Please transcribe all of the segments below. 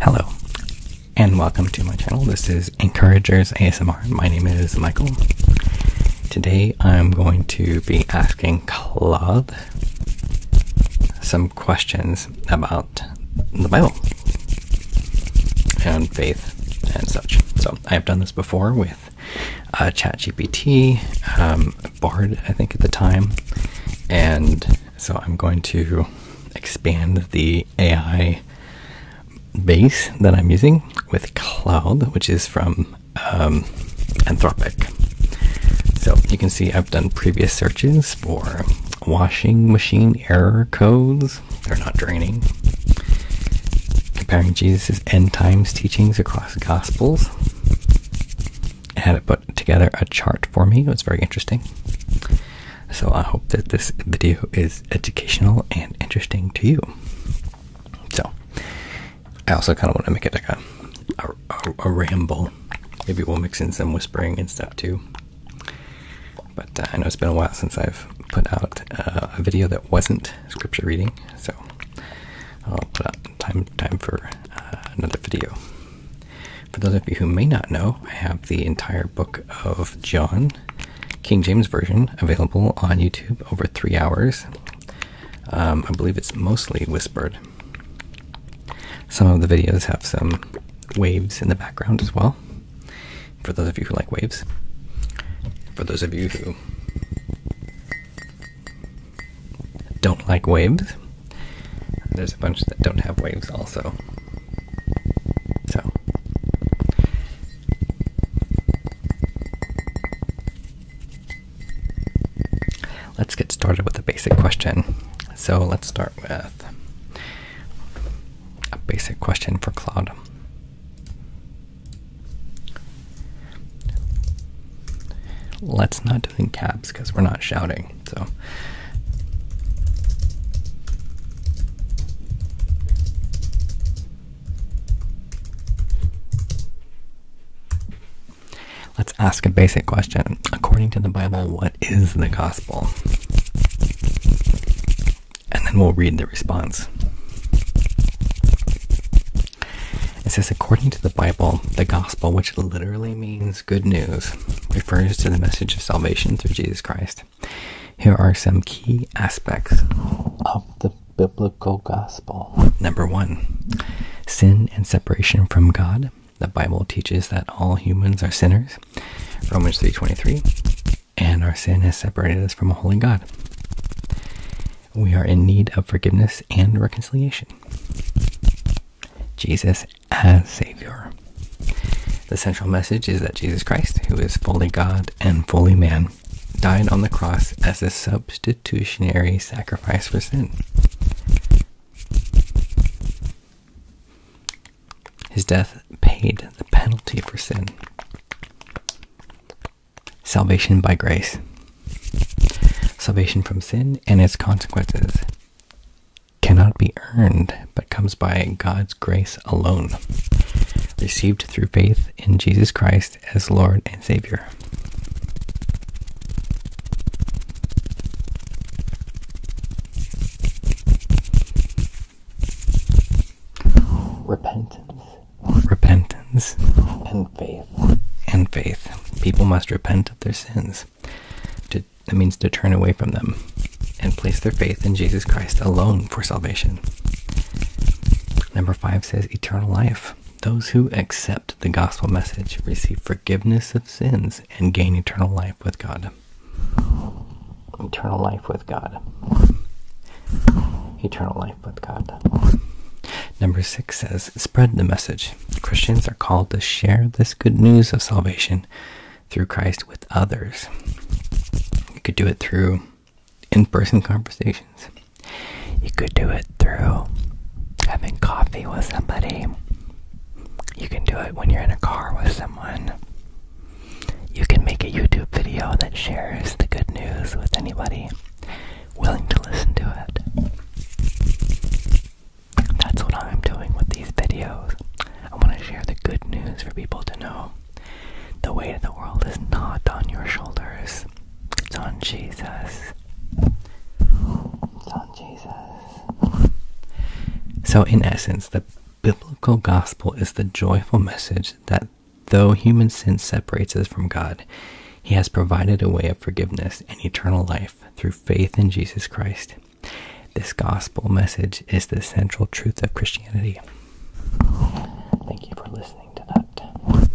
Hello, and welcome to my channel. This is Encouragers ASMR. My name is Michael. Today I'm going to be asking Claude some questions about the Bible and faith and such. So I've done this before with uh, ChatGPT, um, Bard, I think at the time, and so I'm going to expand the AI base that I'm using with Cloud, which is from um, Anthropic. So you can see I've done previous searches for washing machine error codes. They're not draining. Comparing Jesus' end times teachings across Gospels. had it put together a chart for me. It was very interesting. So I hope that this video is educational and interesting to you. So I also kind of want to make it like a, a, ramble. Maybe we'll mix in some whispering and stuff too. But uh, I know it's been a while since I've put out uh, a video that wasn't scripture reading, so I'll put out time time for uh, another video. For those of you who may not know, I have the entire book of John, King James Version, available on YouTube over three hours. Um, I believe it's mostly whispered. Some of the videos have some waves in the background as well. For those of you who like waves, for those of you who don't like waves, there's a bunch that don't have waves also. So let's get started with a basic question. So let's start with a basic question for Claude. Let's not do it in caps because we're not shouting. So. Let's ask a basic question. According to the Bible, what is the gospel? And then we'll read the response. It says, according to the Bible, the gospel, which literally means good news, refers to the message of salvation through Jesus Christ. Here are some key aspects of the biblical gospel. Number one, sin and separation from God. The Bible teaches that all humans are sinners, Romans 3.23, and our sin has separated us from a holy God. We are in need of forgiveness and reconciliation. Jesus as Savior. The central message is that Jesus Christ, who is fully God and fully man, died on the cross as a substitutionary sacrifice for sin. His death paid the penalty for sin. Salvation by grace. Salvation from sin and its consequences cannot be earned, but comes by God's grace alone, received through faith in Jesus Christ as Lord and Savior. Repentance. Repentance. And faith. And faith. People must repent of their sins. To, that means to turn away from them and place their faith in Jesus Christ alone for salvation. Number five says eternal life. Those who accept the gospel message receive forgiveness of sins and gain eternal life with God. Eternal life with God. Eternal life with God. Number six says, spread the message. Christians are called to share this good news of salvation through Christ with others. You could do it through in person conversations. You could do it through having coffee with somebody. You can do it when you're in a car with someone. You can make a YouTube video that shares the good news with anybody willing to listen to it that's what I'm doing with these videos. I want to share the good news for people to know. The weight of the world is not on your shoulders. It's on Jesus. It's on Jesus. So, in essence, the biblical gospel is the joyful message that though human sin separates us from God, He has provided a way of forgiveness and eternal life through faith in Jesus Christ. This gospel message is the central truth of Christianity. Thank you for listening to that.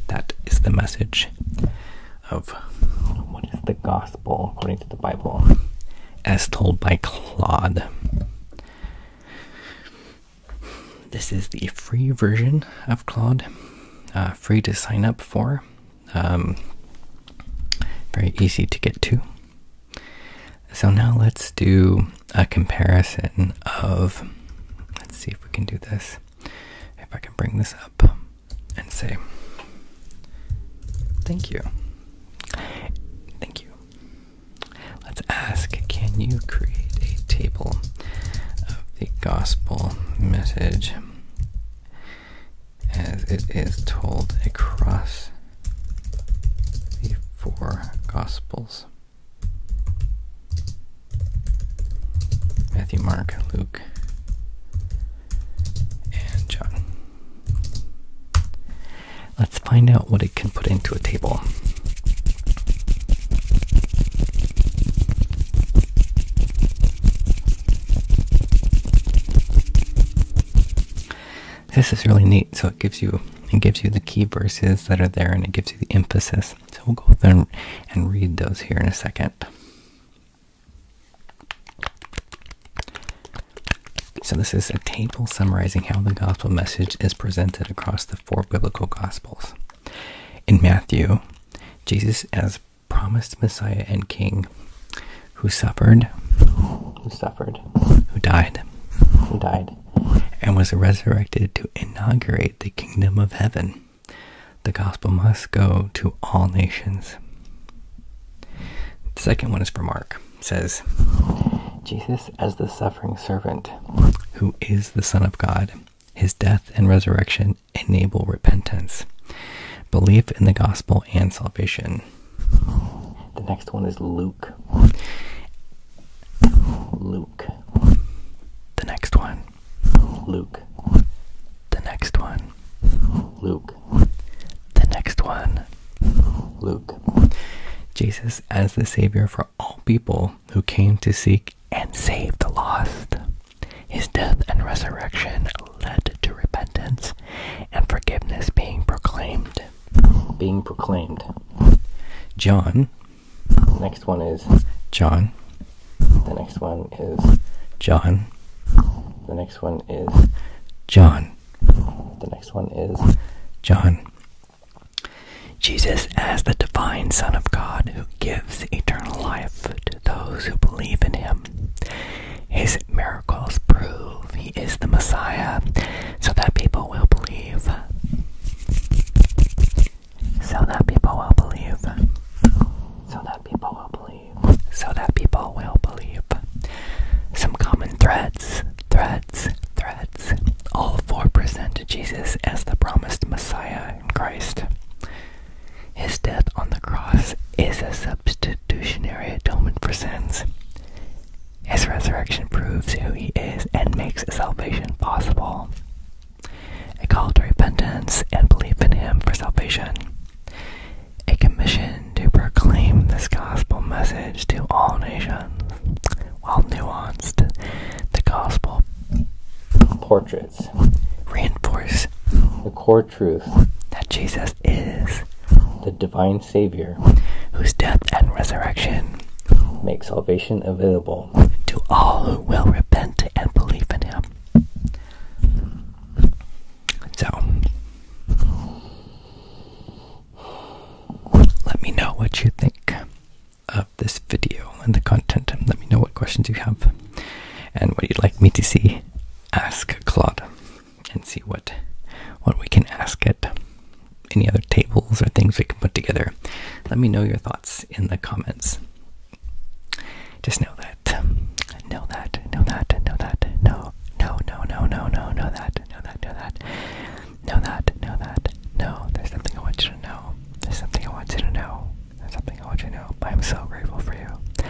That is the message of what is the gospel according to the Bible as told by Claude. This is the free version of Claude, uh, free to sign up for. Um, very easy to get to. So now let's do a comparison of. Let's see if we can do this. If I can bring this up and say, Thank you. Thank you. Let's ask Can you create a table of the gospel message as it is told across the four Gospels Matthew, Mark, Luke, and John. Let's find out what it can put into a table. This is really neat. So it gives you it gives you the key verses that are there, and it gives you the emphasis. So we'll go through and, and read those here in a second. So this is a table summarizing how the gospel message is presented across the four biblical gospels. In Matthew, Jesus as promised Messiah and King who suffered, who suffered, who died, who died, and was resurrected to inaugurate the kingdom of heaven. The gospel must go to all nations. The second one is for Mark. says Jesus as the suffering servant, who is the Son of God. His death and resurrection enable repentance, belief in the gospel, and salvation. The next one is Luke. Luke. The next one. Luke. The next one. Luke. The next one. Luke. Jesus as the Savior for all people who came to seek and save the lost. His death and resurrection led to repentance and forgiveness being proclaimed. Being proclaimed. John. Next one is John. The next one is John. The next one is John. The next one is John. Jesus, as the divine Son of God who gives eternal life to those who believe in him, his miracles prove he is the Messiah so that people will believe. So that people will believe. So that people will believe. So that people will believe. Some common threads, threads, threads. All four present Jesus as the promised Messiah in Christ. His death on the cross is a substitute substitutionary atonement for sins. His resurrection proves who he is and makes salvation possible. A call to repentance and belief in him for salvation. A commission to proclaim this gospel message to all nations. While nuanced, the gospel portraits reinforce the truth that Jesus is the divine Savior whose death and resurrection make salvation available to all who will repent and believe in Him. So, let me know what you think of this video and the content. Let me know what questions you have and what you'd like me to see. Ask Claude and see what what we can ask it. Any other tables or things we can put together? Let me know your thoughts in the comments. Just know that, know that, know that, know that, no, no, no, no, no, know that, know that, know that, know that, know that, no. There's something I want you to know. There's something I want you to know. There's something I want you to know. I am so grateful for you.